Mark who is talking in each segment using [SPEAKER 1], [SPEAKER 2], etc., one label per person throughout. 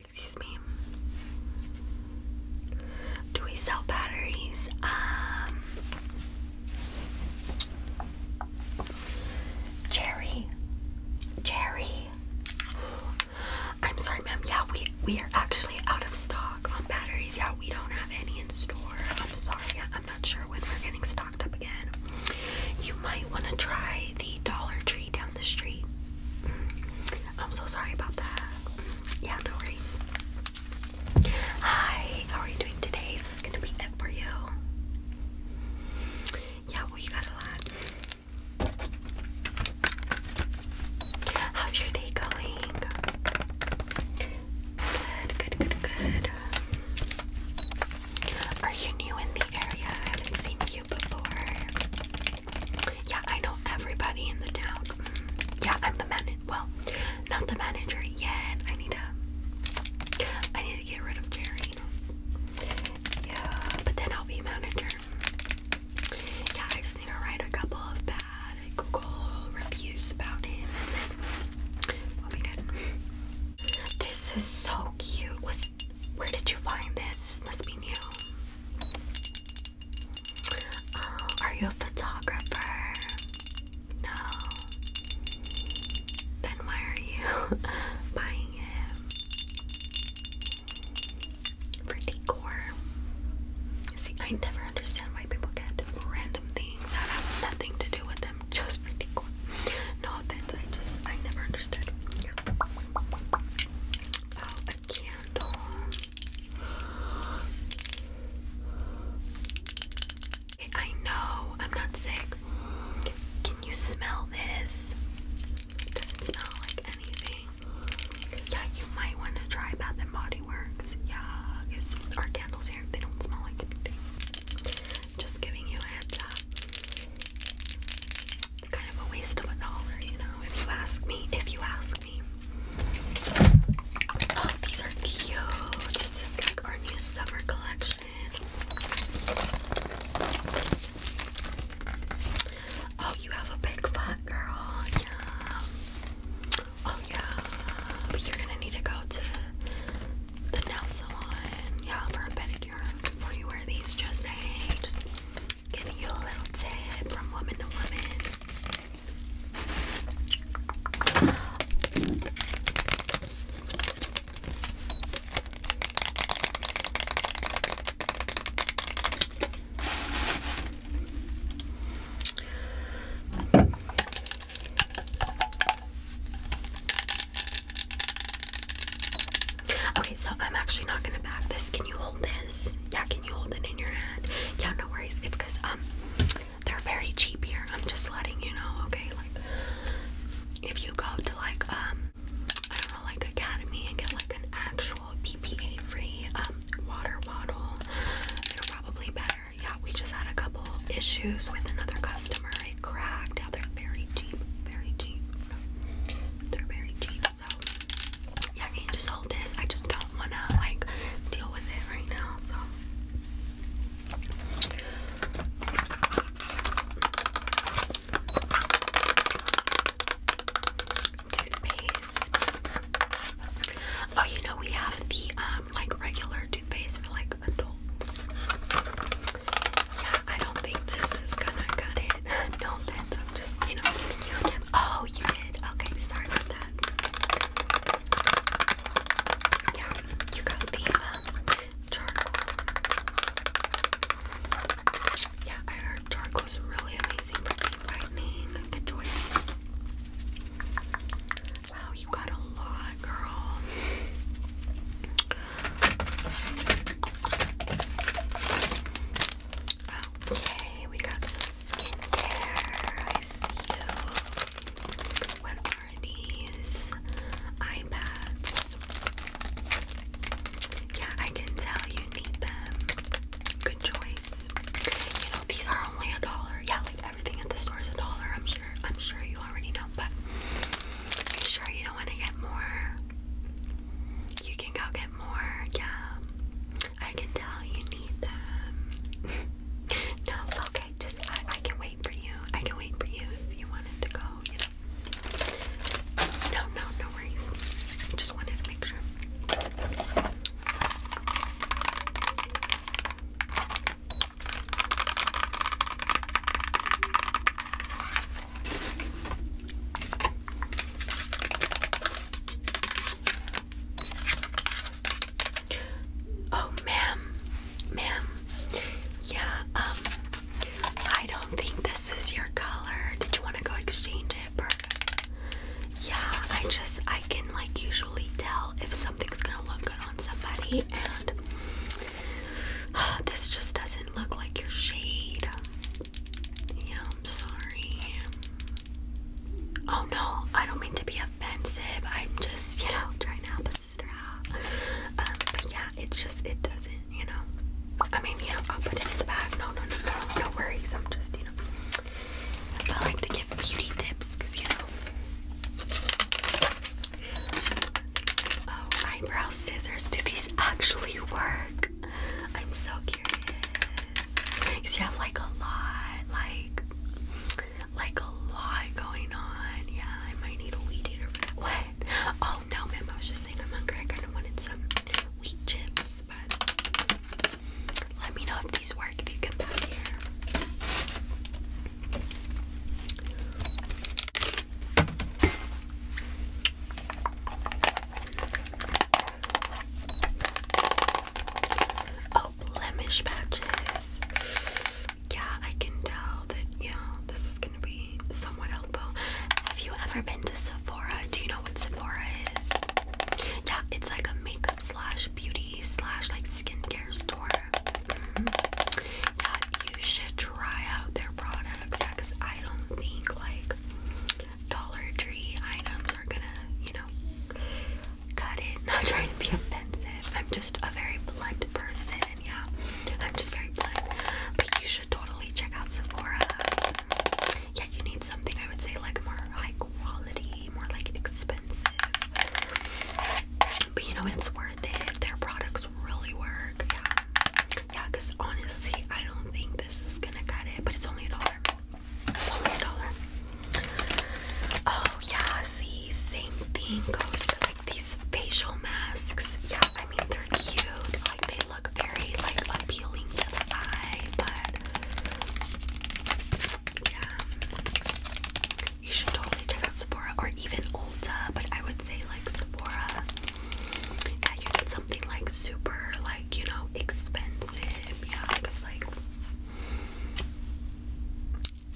[SPEAKER 1] Excuse me. Do we sell batteries? Um Jerry. Jerry. I'm sorry, ma'am. Yeah, we we are actually out of stock on batteries. Yeah, we don't have any in store. I'm sorry. Yeah, I'm not sure when we're getting stocked up again. You might want to try the Dollar Tree down the street. Mm. I'm so sorry about that. Mm. Yeah, no worries. Hi, how are you doing today? Is gonna be it for you? Yeah, well, you got a lot. How's your day going? Good, good, good, good. Are you new in the area? I haven't seen you before. Yeah, I know everybody in the town. Mm, yeah, I'm the manager. Well, not the manager yet. I need to. I need to get rid of Jerry. Yeah, but then I'll be manager. Yeah, I just need to write a couple of bad Google reviews about him. and then we This is so cute. Where did you find this? This must be new. Uh, are you a photographer? No. Then why are you buying it? For decor. See, I never understand why people get random things that have nothing to do with them just for decor. No offense, I just I never understood. Oh, a candle. I know I'm not sick. Can you smell this? doesn't smell like anything. Yeah, you might want to try Bath and Body Works. Yeah, our candles here, they don't smell like anything. Just giving you a heads up. It's kind of a waste of a dollar, you know, if you ask me. If you ask me. Oh, these are cute. This is like our new summer collection. Oh, you have a big butt, girl. Yeah. Oh, yeah. But you're gonna need to go to the nail salon, yeah, for a pedicure. Before you wear these, just hey, just giving you a little tip from woman to woman. Okay, so I'm actually not gonna bag this. Can you hold this? Yeah, can you hold it in your hand? Yeah, no worries. It's because um they're very cheap here. I'm just letting you know, okay? Like if you go to like um I don't know like Academy and get like an actual ppa free um water bottle, they're probably better. Yeah, we just had a couple issues with another customer cracked they're very cheap, very cheap. They're very cheap, so yeah, can just hold this? I just don't wanna like deal with it right now, so toothpaste. Oh, you know we have the um like regular toothpaste for like adults. Yeah, I don't think this is gonna cut it. no offense, I'm just, you know, you Oh, you did. Okay, sorry about that. Yeah, you got the uh, charcoal. Yeah, I heard charcoal's really amazing for deep brightening. Good choice. Wow, you got a lot, girl. Okay, we got some skincare. I see What are these? iPads. Yeah, I can tell you need them. Good choice. You know, these are only a dollar. Yeah, everything at the store is a dollar. I'm sure. I'm sure you already know, but are you sure you don't want to get more? You can go get more. Yeah, I can tell you need them. no, okay. Just I, can wait for you. I can wait for you if you wanted to go. You know. No, no, no worries. I just wanted to make sure. Oh, ma'am, ma'am. Yeah, um, I don't think this is your color. Did you want to go exchange it, Yeah, I just I can like usually tell if something's gonna look good on somebody, and uh, this just doesn't look like your shade. Yeah, I'm sorry. Oh no, I don't mean to be offensive. I'm just, you know, trying to help a sister out. Um, but yeah, it's just, it doesn't, you know. I mean, you know, I'll put it in the bag. No, no, no, no, no worries. I'm just, you know. I like to give beauty tips you know. Oh, eyebrow scissors. Do these actually work? I'm so curious. Because you have like a lot, like, like a lot going on. Yeah, I might need a weed eater for that. What? Oh no, ma'am. I was just saying I'm hungry. I kind of wanted some wheat chips, but let me know if these work if you come down here. Oh, blemish patches. Yeah, I can tell that, you this is gonna be somewhat helpful. Have you ever been to Sephora? Do you know what Sephora is? Yeah, it's like a makeup slash beauty slash like skincare store. Mm -hmm. Yeah, you should try out their products because I don't think like Dollar Tree items are gonna, you know, cut it. Not trying to be offensive. I'm just a very blunt person. Yeah, I'm just very blunt. But you should totally check out Sephora yeah, you need something I would say like more high quality, more like expensive. But you know, it's worth it. Their products really work. Yeah. Yeah, because honestly, I don't think this is gonna cut it, but it's only a dollar. It's only a dollar. Oh, yeah, see, same thing goes for like these facial masks. Yeah, I mean, they're cute. Like, they look very, like, appealing to the eye, but yeah. You should totally check out Sephora or even Ulta, but I would say like Sephora. Yeah, you need something like super, like, you know, expensive. Yeah, because like.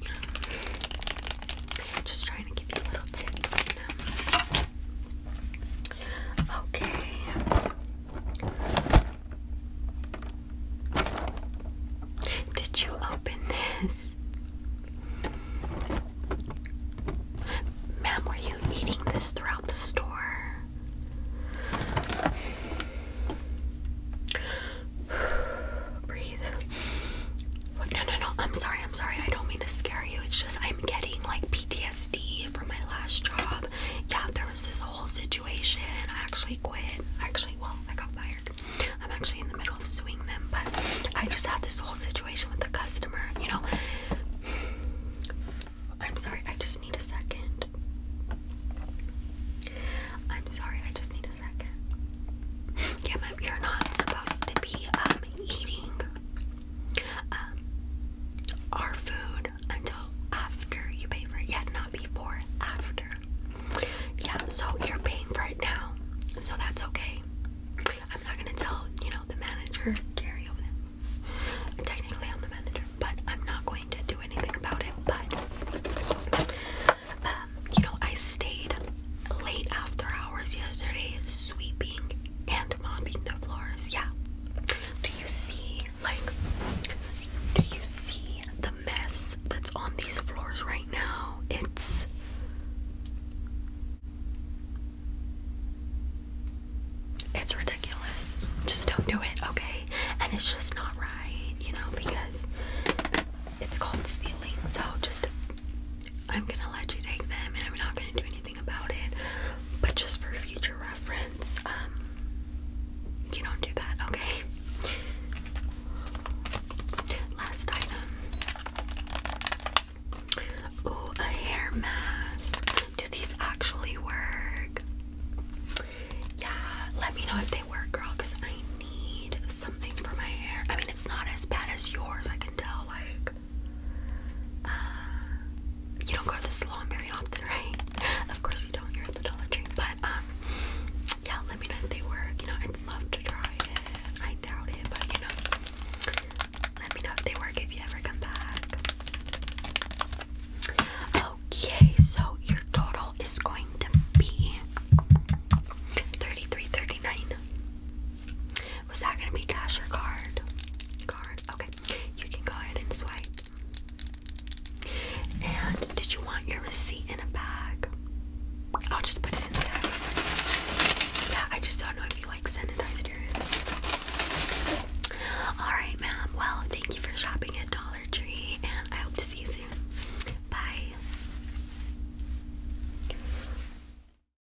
[SPEAKER 1] Yeah. Just trying to give you little tips, Okay. Did you open this? Ma'am, were you needing this throughout the store? Breathe. No, no, no. I'm sorry. I'm sorry. I don't mean to scare you. It's just I'm getting like PTSD from my last job. Yeah, there was this whole situation. I actually quit. Actually, well, I got fired. I'm actually in the middle of suing them, but I just had this whole situation with the customer, you know. I'm sorry, I just need a second. I'm sorry, I just need a second. Yeah, ma'am, you're not supposed to be um, eating um, our food until after you pay for it. Yeah, not before, after. Yeah, so you're paying for it now, so that's okay. I'm not gonna tell, you know, the manager, Jerry over there. Technically, I'm the manager, but I'm not going to do anything about it. But, um, you know, I stayed late after hours yesterday, sweeping and mopping the floors. Yeah, do you see, like, do you see the mess that's on these floors right now? It's. It's ridiculous. Just don't do it, okay? And it's just not right, you know, because it's called stealing. So just, I'm gonna let you take them and I'm not gonna do anything about it, but just for future reference, um, you don't do that, okay? Last item. Ooh, a hair mask. Do these actually work? Yeah, let me know if they work, girl, I need something for my hair. I mean, it's not as bad as yours, I can tell, like, uh, you don't go to the salon very often, right? Of course you don't. You're at the Dollar Tree, but um, yeah. Let me know if they work. You know, I'd love to try it. I doubt it, but you know, let me know if they work if you ever come back. Okay, so your total is going to be thirty-three thirty-nine. Was that gonna be cash or card? Card. Okay. You can go ahead and swipe. And did you want your receipt in a bag? I'll just put it in there. Yeah, I just don't know if you like sanitized yours. Alright, ma'am. Well, thank you for shopping at Dollar Tree and I hope to see you soon. Bye.